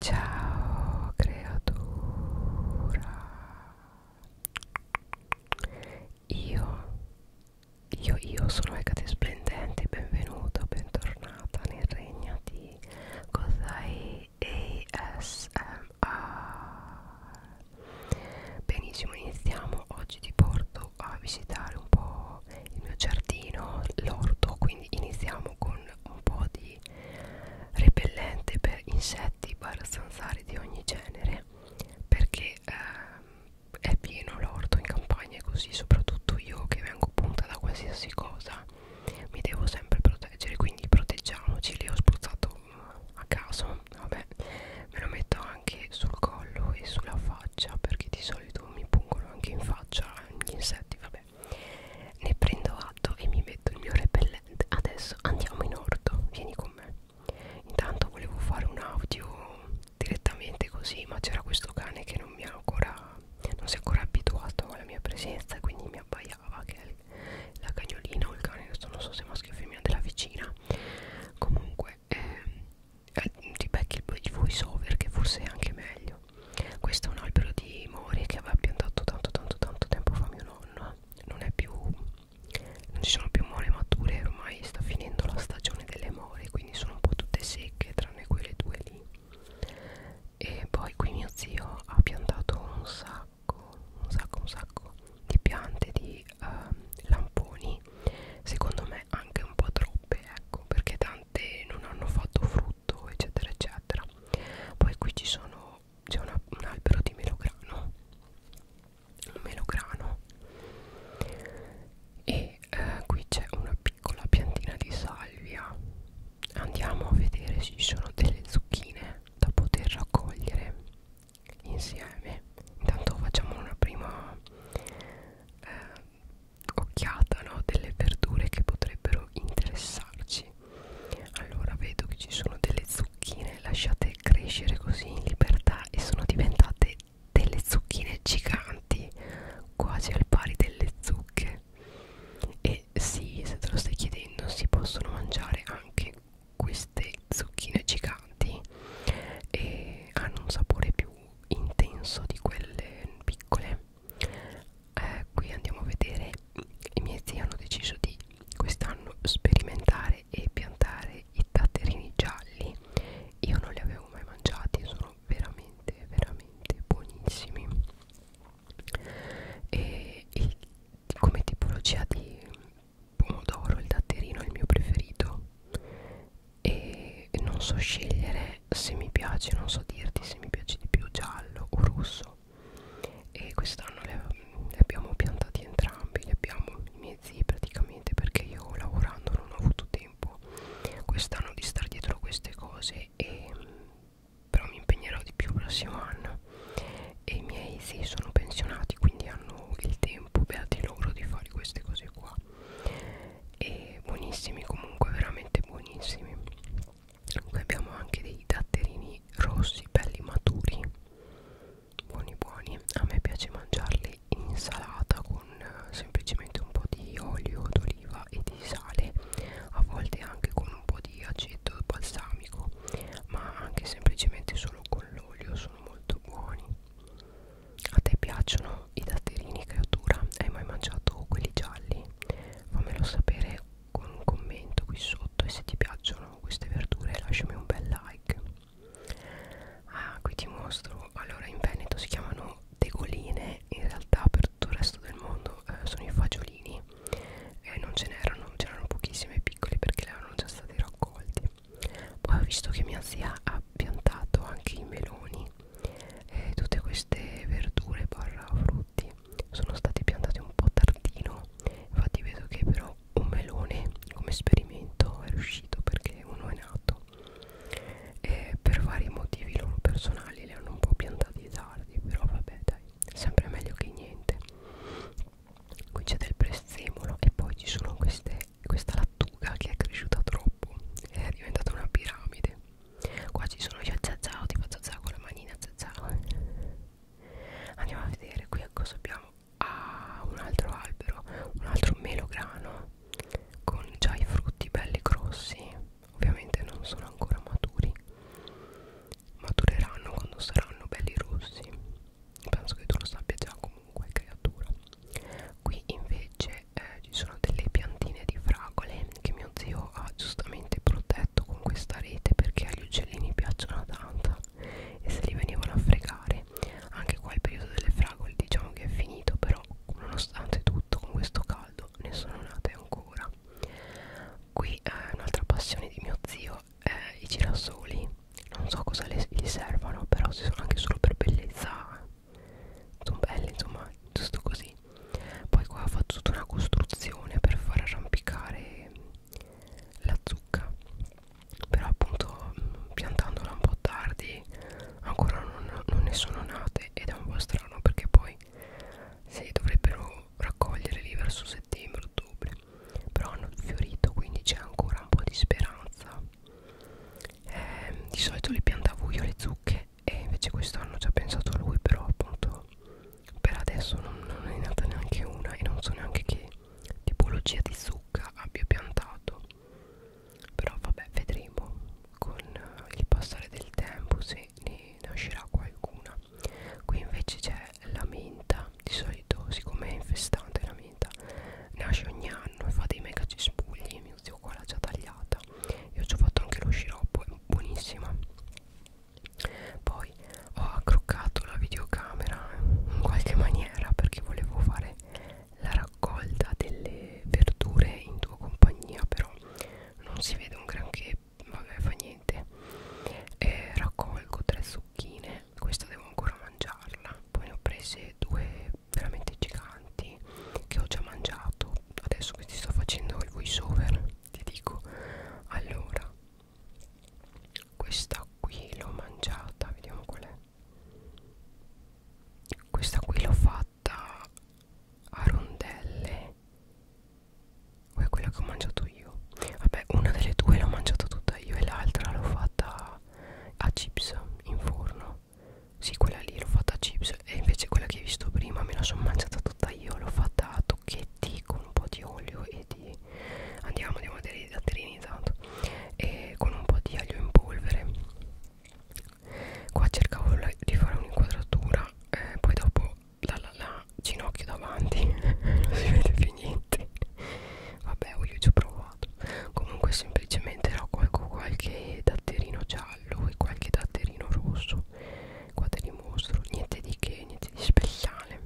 Ciao creatura Io Io io sono Ecate Splendente Benvenuta, bentornata nel regno di Kozai ASMR Benissimo, iniziamo Oggi ti porto a visitare un po' il mio giardino, l'orto Quindi iniziamo con un po' di aghi, repellente per insetti barra zanzare di ogni genere, perché eh, è pieno l'orto in campagna e così, soprattutto io che vengo punta da qualsiasi cosa, mi devo sempre proteggere, quindi proteggiamoci, li ho spruzzato mm, a caso, vabbè, me lo metto anche sul collo e sulla faccia perché di solito mi pungono anche in faccia gli insetti, vabbè vabbè ne prendo atto e mi metto il mio repellente adesso andiamo in orto vieni con me intanto volevo fare un audio direttamente così ma c'era questo cane che non mi ha ancora non si è ancora abituato alla mia presenza quindi mi abbaiava che è la cagnolina o il cane adesso non so se maschio o femmina della vicina comunque eh, eh, ti becchi il voice over che forse è anche meglio questo è un albero di mori che aveva piantato tanto tanto tanto tempo fa mio nonno non è più non ci sono più more mature ormai sta finendo la stagione delle more quindi sono un po' tutte secche tranne quelle due lì e poi qui mio zio ha piantato un sacco un sacco un sacco di piante di uh, lamponi secondo me anche un po' troppe ecco perché tante non hanno fatto frutto frutto eccetera eccetera poi qui ci sono c'è un albero di melograno un melograno e eh, qui c'è una piccola piantina di salvia andiamo a vedere se ci sono delle zucchine da poter raccogliere insieme intanto facciamo una prima eh, occhiata no, delle verdure che potrebbero interessarci allora vedo che ci sono delle zucchine lasciate crescere così in libertà e sono diventate delle zucchine giganti quasi al pari delle zucche e sì se te lo stai chiedendo si possono mangiare anche queste zucchine giganti e hanno un sapore più intenso di quelle piccole eh, qui andiamo a vedere i miei zii hanno deciso di quest'anno sperimentare e piantare i tatterini gialli io non li avevo mai mangiati sono veramente veramente buonissimi e il, come tipologia di pomodoro il datterino è il mio preferito e non so scegliere me se mi piace non so dirti se mi piace di più giallo o rosso e quest'anno le, le abbiamo piantati entrambi li abbiamo i miei zii praticamente perché io lavorando non ho avuto tempo quest'anno di star dietro a queste cose e però mi impegnerò di più il prossimo anno e i miei zii sono pensionati quindi hanno il tempo beati loro di fare queste cose qua e buonissimi comunque veramente buonissimi Qui abbiamo anche dei datterini rossi belli maturi buoni buoni a me piace mangiarli in insalata con eh, semplicemente un po' di olio d'oliva e di sale a volte anche con un po' di aceto balsamico ma anche semplicemente solo con l'olio sono molto buoni a te piacciono i datterini creatura hai mai mangiato quelli gialli fammelo sapere con un commento qui sotto e se ti piacciono queste verdure lasciami un bel like ah qui ti mostro allora in Veneto si chiamano tegoline in realtà per tutto il resto del mondo eh, sono i fagiolini eh, non ce n'erano c'erano pochissime piccoli perché le erano già stati raccolti poi ho visto che mia zia ha piantato anche i meloni eh, tutte queste verdure barra frutti sono stati piantati un po' tardino infatti vedo che però un melone come esperimento è riuscito perché uno è nato e per vari motivi loro personali li hanno un po' piantati tardi però vabbè dai sempre meglio che niente qui c'è del prezzemolo e poi ci sono queste questa lattuga che è cresciuta troppo è diventata una piramide Qua ci sono io a zazao, tipo zazao con la manina zazao. Andiamo a vedere qui cosa abbiamo. Ah, un altro albero, un altro melograno con già i frutti belli grossi. Ovviamente non sono ancora maturi. Matureranno quando saranno belli rossi. Penso che tu lo sappia già comunque, creatura. Qui invece dove eh, ci sono delle piantine di fragole che mio zio ha giustamente protetto con questa rete perché agli uccellini piacciono tanto e se li venivano a fregare anche qua il periodo delle fragole diciamo che è finito però nonostante tutto con questo caldo ne sono nate ancora qui eh, un'altra passione di mio zio è i girasoli non so cosa le, gli servano però se sono anche solo per bellezza sono belle insomma giusto così poi qua ho fatto tutta una costruzione per far arrampicare la zucca però appunto mm, piantandola un po' tardi ancora non, non ne sono nate ed è un po' strano perché poi si dovrebbero raccogliere lì verso settembre ottobre però hanno fiorito quindi c'è ancora un po' di speranza eh, di solito le piantavo io le zucche e invece quest'anno ci ha pensato lui però appunto per adesso non, non è nata neanche una e non so neanche che tipologia di zucca abbia piantato però vabbè vedremo con il passare del tempo se ne nascerà qualcuna qui invece c'è la menta di solito siccome è infestante la menta finita nasce ogni anno e fa dei mega cespugli mio zio qua l'ha già tagliata io ci ho fatto anche lo sciroppo è buonissima poi ho accroccato la videocamera in qualche maniera perché volevo fare la raccolta delle verdure in tua compagnia però non si vede un granché vabbè fa niente e raccolgo tre zucchine questa devo ancora mangiarla poi ne ho prese due veramente giganti che ho già mangiato adesso che ti sto facendo il voice over ti dico allora questa qui l'ho mangiata vediamo qual è questa qui l'ho fatta a rondelle o è quella che ho mangiato io vabbè una delle due l'ho mangiata tutta io e l'altra l'ho fatta a chips in forno sì, quella lì l'ho fatta a chips e invece quella che hai visto prima me la sono mangiata tutta io, l'ho fatta a tocchetti con un po' di olio e di andiamo andiamo a datterini intanto e con un po' di aglio in polvere. Qua cercavo la, di fare un'inquadratura, eh, poi dopo la, la, la ginocchio davanti non si vede più niente. Vabbè, io ci ho provato trovato comunque semplicemente era qualche, qualche datterino giallo e qualche datterino rosso qua te li mostro niente di che niente di speciale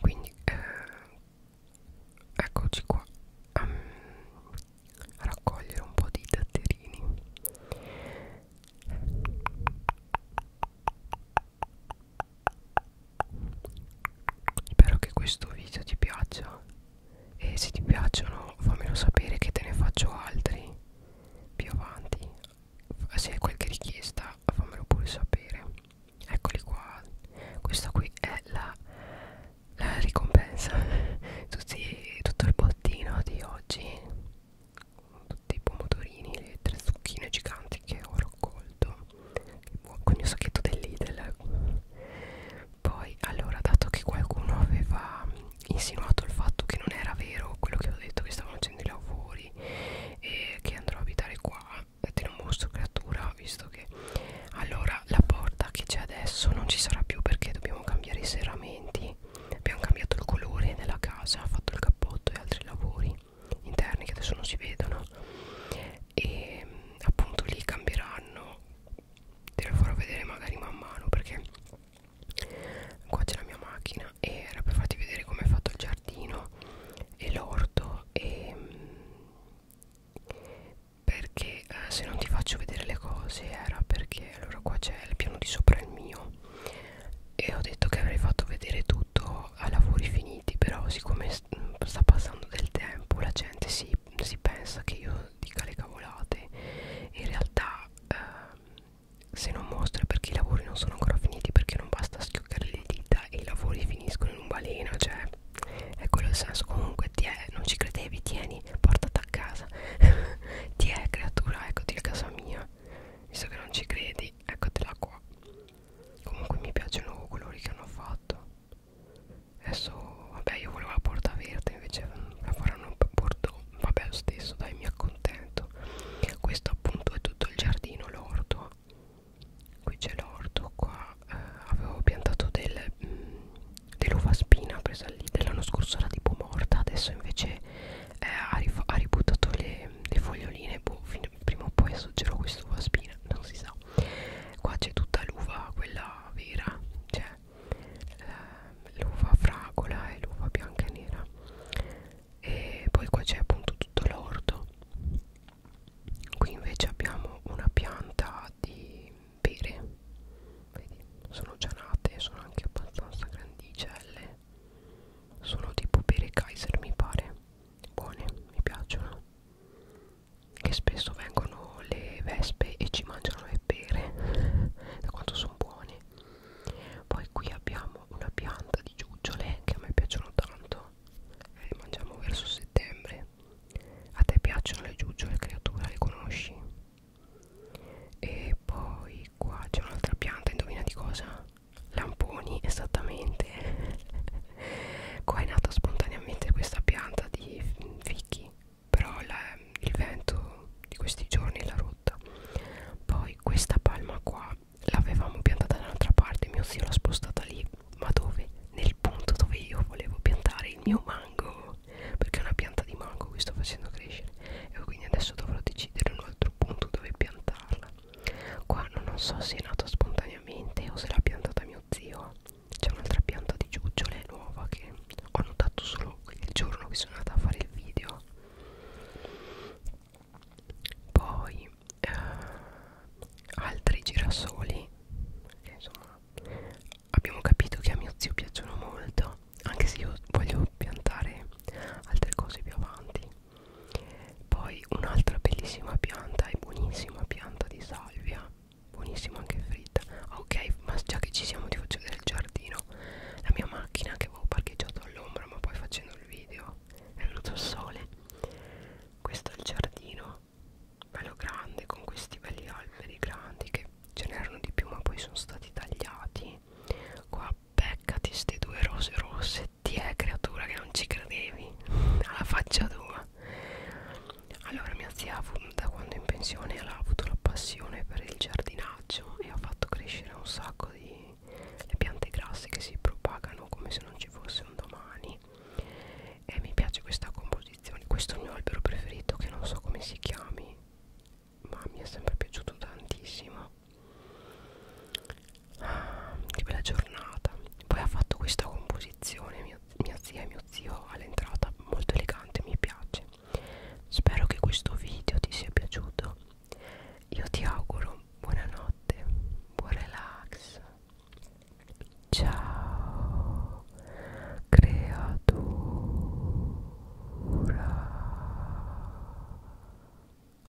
quindi eh, eccoci qua um, a raccogliere un po' di datterini Spero che questo video ti piaccia e se ti piacciono fammelo sapere che te ne faccio altri più avanti. Se hai qualche richiesta fammelo pure sapere. Eccoli qua. Questa qui è la, la ricompensa. Tutti, tutto il bottino di oggi. Tutti i pomodorini, le tre zucchine giganti che ho raccolto con il mio sacchetto del Lidl poi allora dato che qualcuno aveva insinuato il fatto che non era vero quello che ho detto che stavano facendo i lavori e che andrò a abitare qua te lo mostro creatura visto che allora la porta che c'è adesso non ci sarà più perché dobbiamo cambiare i serramenti abbiamo cambiato il colore della casa fatto il cappotto e altri lavori interni che adesso non si vedono e appunto li cambieranno te lo farò vedere magari man mano perché qua c'è la mia macchina e era per farti vedere come è fatto il giardino e l'orto e perché eh, se non ti faccio vedere le cose era perché allora qua c'è il piano di sopra il mio e ho detto che avrei fatto vedere tutto a lavori finiti però siccome sta passando del tempo la gente si, si pensa che io dica le cavolate in realtà eh, se non mostro è perché i lavori non sono ancora finiti perché non basta schioccare le dita e i lavori finiscono in un baleno cioè è quello il senso comunque ti è, non ci credevi tieni portati a casa ti è creatura eccoti a casa mia visto che non ci credi eccotela qua comunque mi piacciono colori che hanno fatto adesso vabbè io volevo la porta verde invece la faranno bordeaux vabbè lo stesso dai mi accontento questo appunto è tutto il giardino l'orto qui c'è l'orto qua eh, avevo piantato del, mm, dell'uva spina presa lì dell'anno scorso era tipo morta adesso invece eh, ha, ha ributtato le, le foglioline boh, prima o poi assaggerò questo uva spina non si sa qua c'è tutta l'uva quella vera cioè ehm, l'uva fragola e l'uva bianca e nera e poi qua c'è appunto tutto l'orto qui invece abbiamo una pianta di pere Vedi, sono già nate sono anche abbastanza grandicelle sono tipo pere Kaiser mi pare buone mi piacciono che spesso vengono le vespe e ci mangiano le pere da quanto sono buoni poi qui abbiamo una pianta di giuggiole che a me piacciono tanto eh, le mangiamo verso settembre a te piacciono le giuggiole creatura le conosci e poi qua c'è un'altra pianta indovina di cosa lamponi esattamente qua è nata spontaneamente questa pianta di fichi però la, il vento di questi giorni l'ha rotta poi questa palma qua l'avevamo piantata da un'altra parte mio zio l'ha spostata lì ma dove? nel punto dove io volevo piantare il mio mango perché è una pianta di mango che sto facendo crescere e quindi adesso dovrò decidere un altro punto dove piantarla Qua non so se è nata spontaneamente o se l'ha piantata mio zio. C'è un'altra pianta di giuggiole nuova che ho notato solo il giorno che sono andata a fare il video. Poi eh, altri girasoli che insomma abbiamo capito che a mio zio piacciono molto, anche se io voglio piantare altre cose più avanti poi un'altra bellissima pianta e buonissima pianta di salvia buonissima anche fritta ah, ok ma già che ci siamo ti faccio vedere il giardino la mia macchina che avevo parcheggiato all'ombra ma poi facendo il video è venuto il sole questo è il giardino bello grande con questi belli alberi grandi che ce n'erano di più ma poi sono stati tagliati qua beccati ste due rose rosse ti è eh, creatura che non ci credevi alla faccia tua allora mia zia da quando è in pensione ha avuto la passione per il giardinaggio e ha fatto crescere un sacco di le piante grasse che si propagano come se non ci fosse un domani e mi piace questa composizione questo è il mio albero preferito che non so come si chiami ma mi è sempre piaciuto tantissimo ah, che bella giornata poi ha fatto questa composizione mia, mia zia e mio zio all'entrata molto elegante mi piace spero che questo video ti sia piaciuto io ti auguro buonanotte buon relax ciao creatura